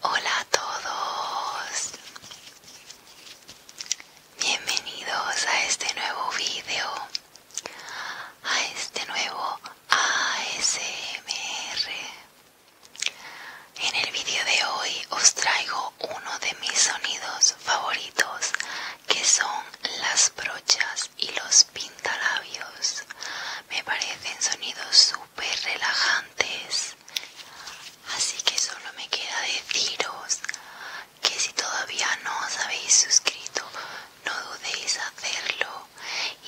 Hola a todos. Bienvenidos a este nuevo video. A este nuevo ASMR. En el video de hoy os traigo uno de mis sonidos favoritos que son las brochas y los pintalabios me parecen sonidos súper relajantes. Así que solo me queda deciros que si todavía no os habéis suscrito, no dudéis hacerlo.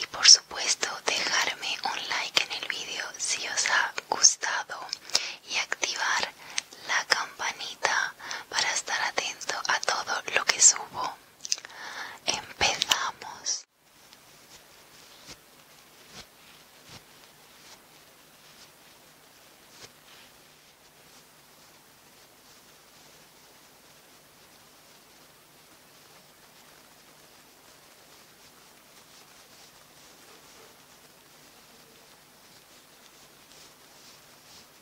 Y por supuesto, dejarme un like en el vídeo si os ha gustado y activar la campanita para estar atento a todo lo que subo. Empezamos.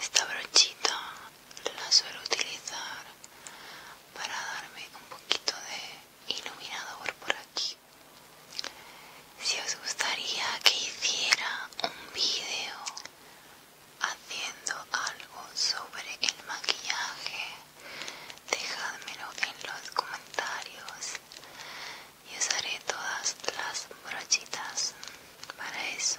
Esta brochita la suelo utilizar para darme un poquito de iluminador por aquí. Si os gustaría que hiciera un vídeo haciendo algo sobre el maquillaje dejadmelo en los comentarios y usaré todas las brochitas para eso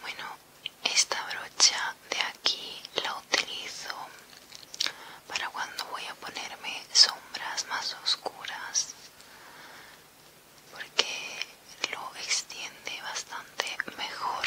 Bueno, esta brocha de aquí la utilizo para cuando voy a ponerme sombras más oscuras porque lo extiende bastante mejor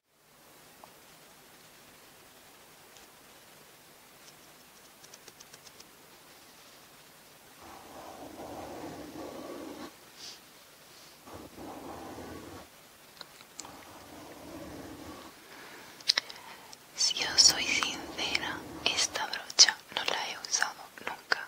Si yo soy sincera, esta brocha no la he usado nunca.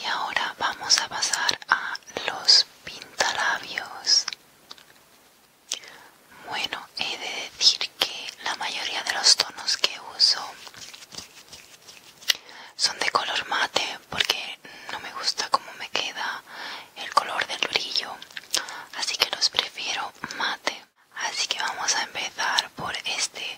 Y ahora vamos a pasar a los pintalabios. Bueno, he de decir que la mayoría de los tonos que uso son de color mate porque no me gusta cómo me queda el color del brillo, así que los prefiero mate. Así que vamos a empezar por este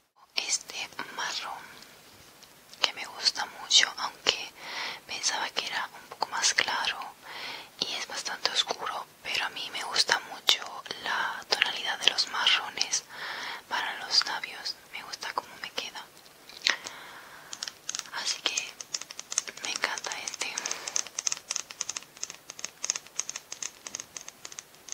este marrón que me gusta mucho aunque pensaba que era un poco más claro y es bastante oscuro pero a mí me gusta mucho la tonalidad de los marrones para los labios me gusta como me queda así que me encanta este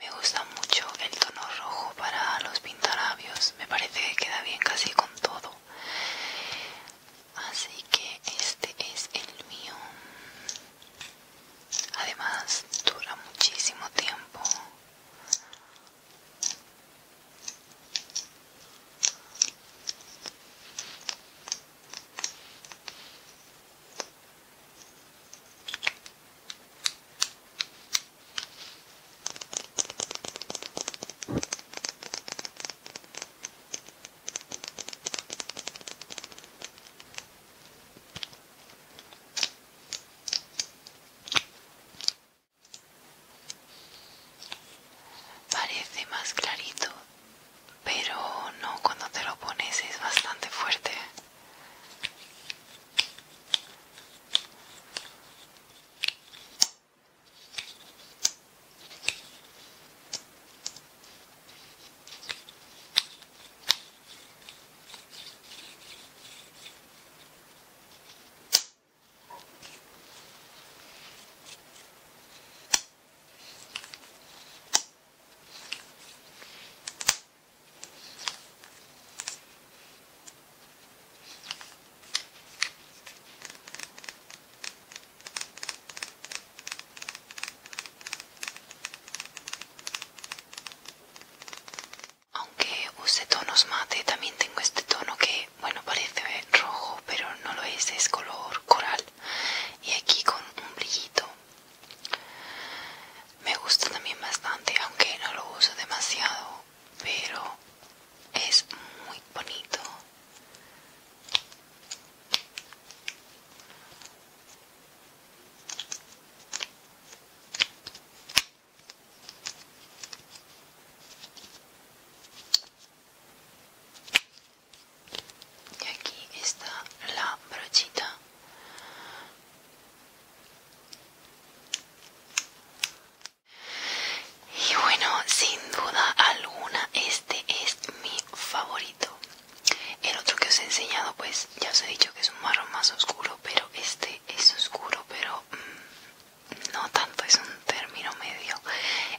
Me gusta mucho el tono rojo para los pintarabios me parece que queda bien casi con todo. Así que este es el mío. Además, dura muchísimo tiempo. Parece más clarito pero no cuando te lo pones es bastante fuerte. Aunque use tonos mate, también tengo este tono que, bueno, parece rojo, pero no lo es, es color coral. Y aquí con un brillito me gusta también bastante, aunque no lo uso demasiado, pero es muy bonito y aquí está la brochita y bueno sin duda alguna este es mi favorito el otro que os he enseñado pues ya os he dicho que es un marrón más oscuro pero este es oscuro pero mm, no tanto es un término medio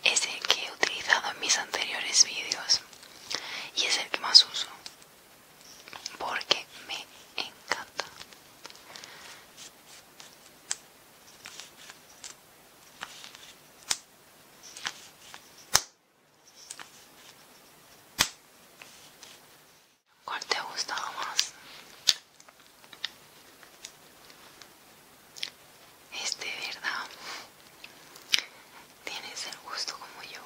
es el que he utilizado en mis anteriores vídeos y es el que más uso porque me encanta ¿Cuál te ha más? Este, ¿verdad? tienes el gusto como yo.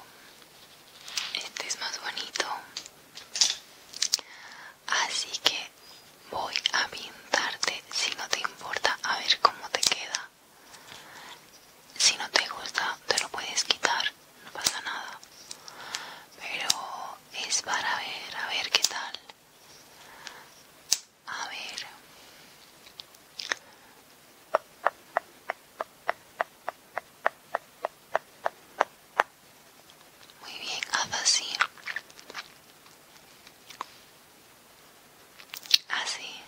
Este es más bonito. Así que voy a pintarte si no te importa a ver cómo te queda. Si no te gusta te lo puedes quitar, no pasa nada. Pero es para ver, a ver qué tal. A ver. Muy bien, haz así. Así.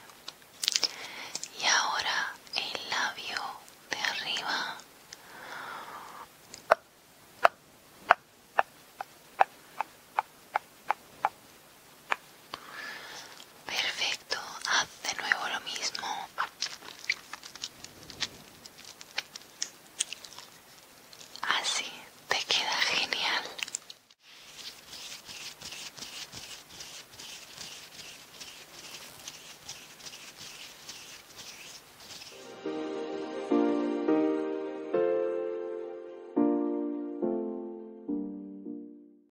Y ahora el labio de arriba. Perfecto, haz de nuevo lo mismo. Así te queda genial.